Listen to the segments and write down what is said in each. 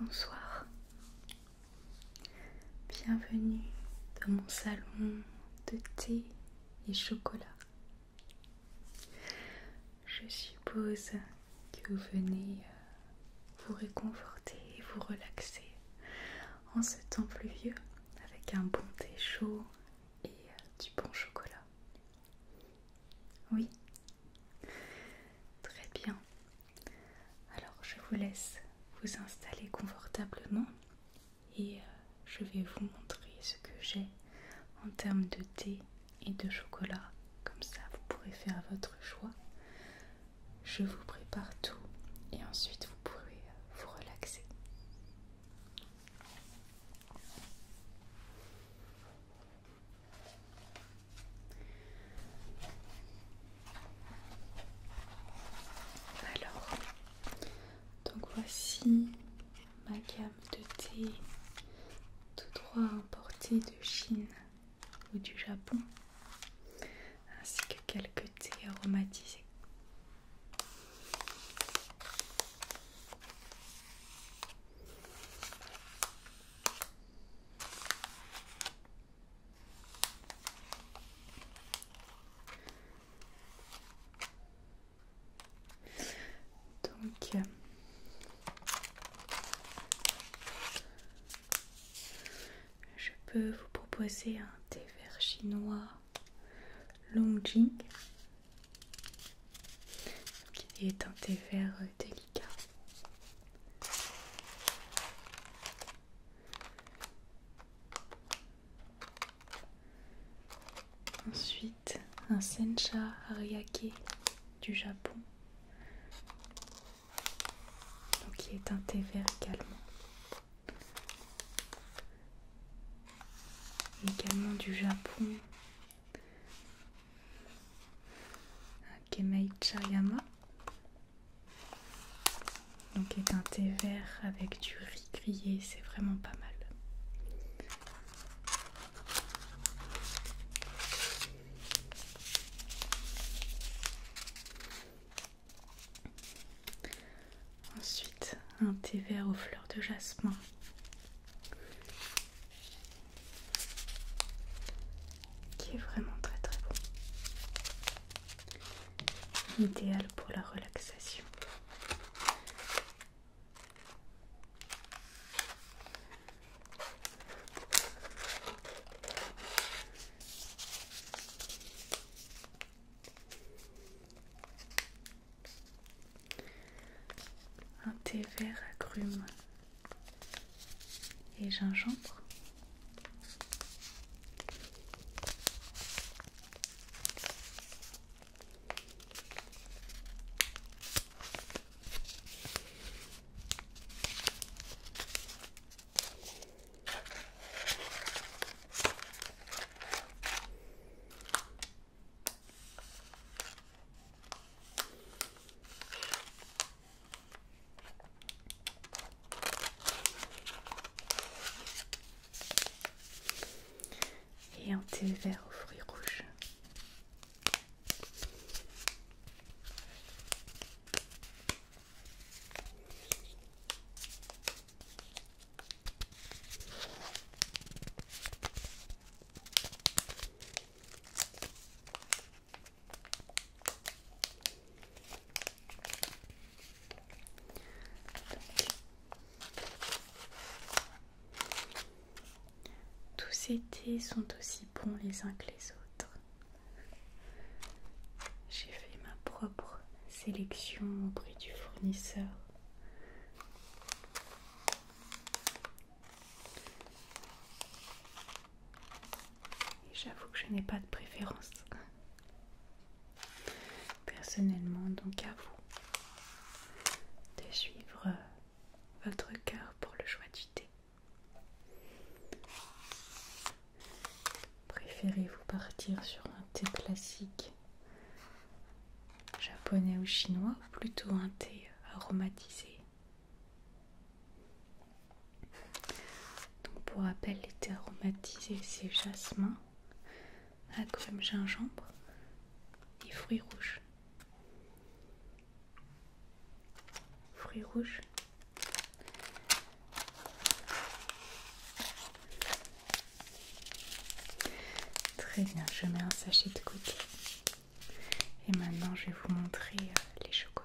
Bonsoir, bienvenue dans mon salon de thé et chocolat. Je suppose que vous venez euh, vous réconforter et vous relaxer en ce temps pluvieux avec un bon thé chaud et euh, du bon chocolat. Oui, Très bien. Alors je vous laisse vous installer confortablement et euh, je vais vous montrer ce que j'ai en termes de thé et de chocolat. Comme ça vous pourrez faire votre choix. Je vous prépare tout et ensuite vous pourrez euh, vous relaxer. Alors, donc voici ma gamme de thé tout droit importés de Chine ou du Japon, ainsi que quelques thés aromatisés. Donc, je peux vous proposer un thé vert chinois Longjing qui est un thé vert euh, délicat. Ensuite, un sencha ariake du Japon. Donc qui est un thé vert également. Également du Japon, un kemei chayama, Donc est un thé vert avec du riz grillé, c'est vraiment pas mal. Ensuite, un thé vert aux fleurs de jasmin qui est vraiment très très bon, idéal pour la relaxation. Un thé vert agrume et gingembre et un thé vert aux fruits rouges. Tous ces thés sont aussi bons les uns que les autres. J'ai fait ma propre sélection auprès du fournisseur j'avoue que je n'ai pas de préférence. Personnellement, donc à vous de suivre euh, votre cœur pour le choix du thé. Préférez-vous partir sur un thé classique japonais ou chinois ou plutôt un thé aromatisé donc pour rappel, les thés aromatisés c'est jasmin, agrumes, gingembre et fruits rouges. Fruits rouges. Très bien, je mets un sachet de côté. Et maintenant, je vais vous montrer euh, les chocolats.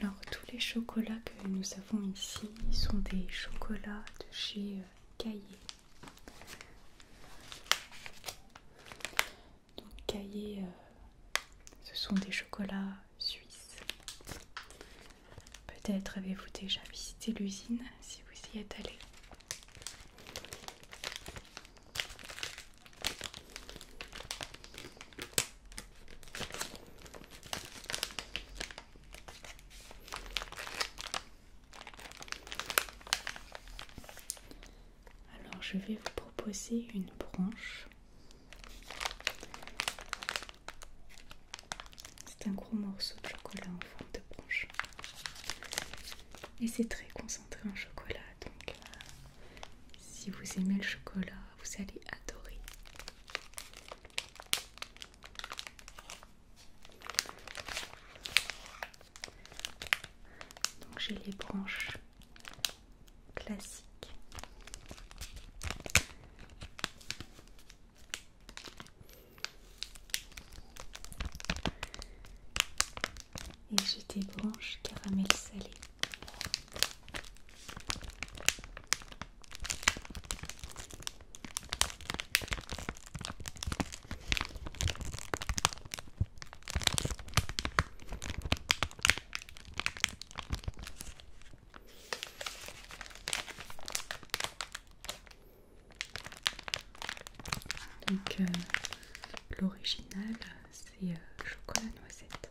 Alors tous les chocolats que nous avons ici sont des chocolats de chez euh, Caillé. Donc Caillé, euh, ce sont des chocolats suisse. Peut-être avez-vous déjà visité l'usine si vous y êtes allé. Alors je vais vous proposer une branche c'est un gros morceau de chocolat en forme de branche. Et c'est très concentré en chocolat, donc euh, si vous aimez le chocolat, vous allez adorer. Donc j'ai les branches classiques et j'ai des branches caramel salé. Donc euh, l'original c'est euh, chocolat noisette.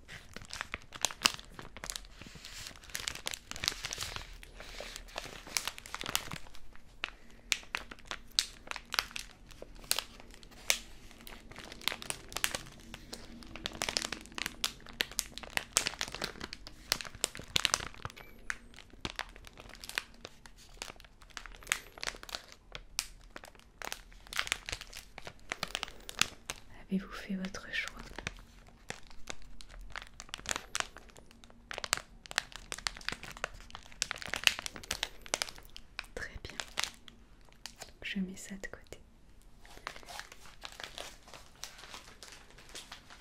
Avez-vous fait votre choix Très bien. Je mets ça de côté.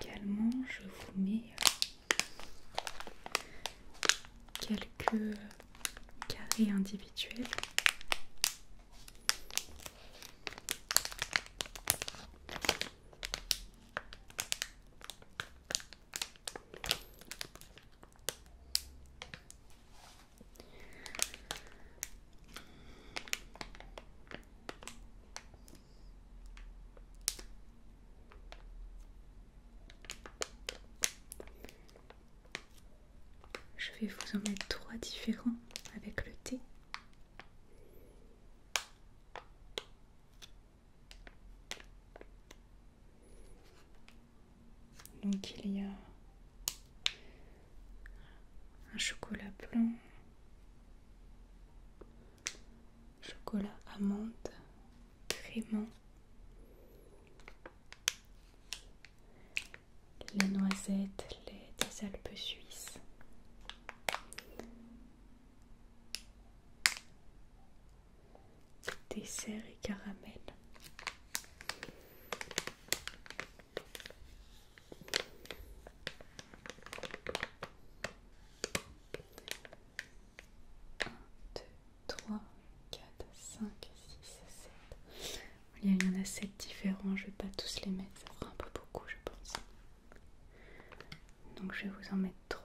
Également, je vous mets euh, quelques carrés individuels. Je vais vous en mettre trois différents avec le thé. Donc il y a un chocolat blanc, chocolat amande, crément, la noisette, lait des Alpes suisses. Dessert et caramel. 1, 2, 3, 4, 5, 6, 7. Il y en a 7 différents, je ne vais pas tous les mettre, ça fera un peu beaucoup, je pense. Donc je vais vous en mettre 3.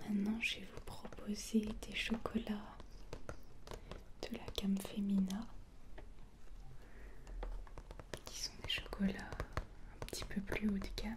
Maintenant, je vais vous proposer des chocolats de la gamme Femina qui sont des chocolats un petit peu plus haut de gamme.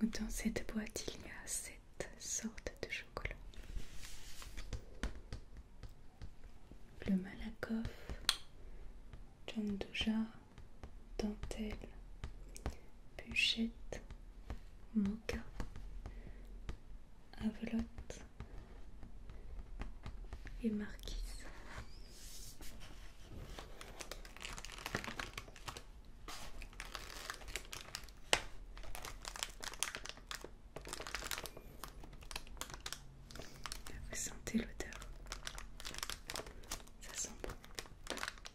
Donc dans cette boîte, il y a cette sorte de chocolat. Le Malakoff, John dentelle, bûchette, moka, avelotte et marquise. Vous sentez l'odeur, ça sent bon.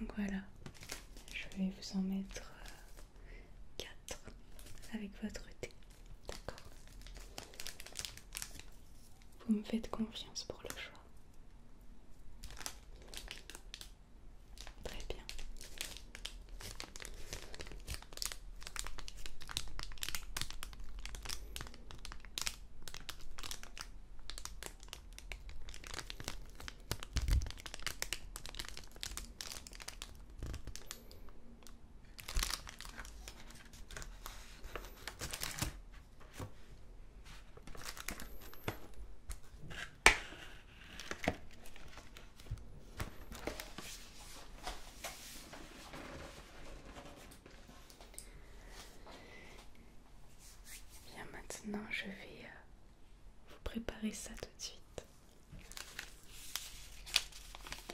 Donc voilà, je vais vous en mettre 4 euh, avec votre thé. D'accord. Vous me faites confiance pour le choix. Très bien. Bien maintenant, je vais euh, vous préparer ça tout de suite.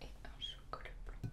Et un chocolat blanc.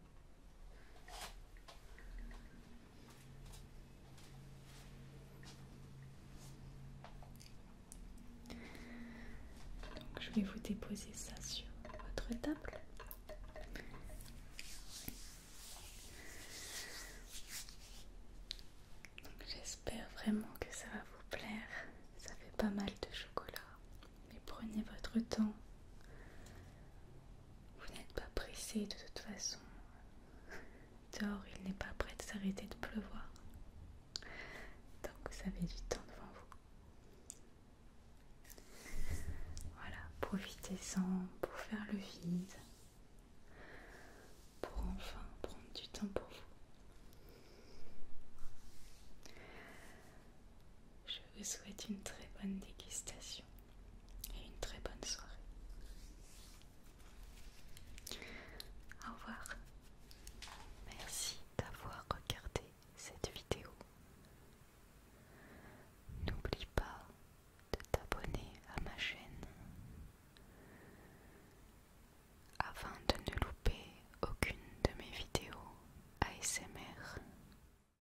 Donc je vais vous déposer ça sur votre table. J'espère vraiment que ça va vous plaire. Ça fait pas mal de chocolat. Mais prenez votre temps. Vous n'êtes pas pressé de toute façon. Dehors, il n'est pas prêt de s'arrêter de pleuvoir. Donc vous avez du temps devant vous. Voilà, profitez-en pour faire le vide. Pour enfin prendre du temps pour vous. Je vous souhaite une très bonne dégustation et une très bonne soirée. Au revoir. Merci d'avoir regardé cette vidéo. N'oublie pas de t'abonner à ma chaîne afin de ne louper aucune de mes vidéos ASMR.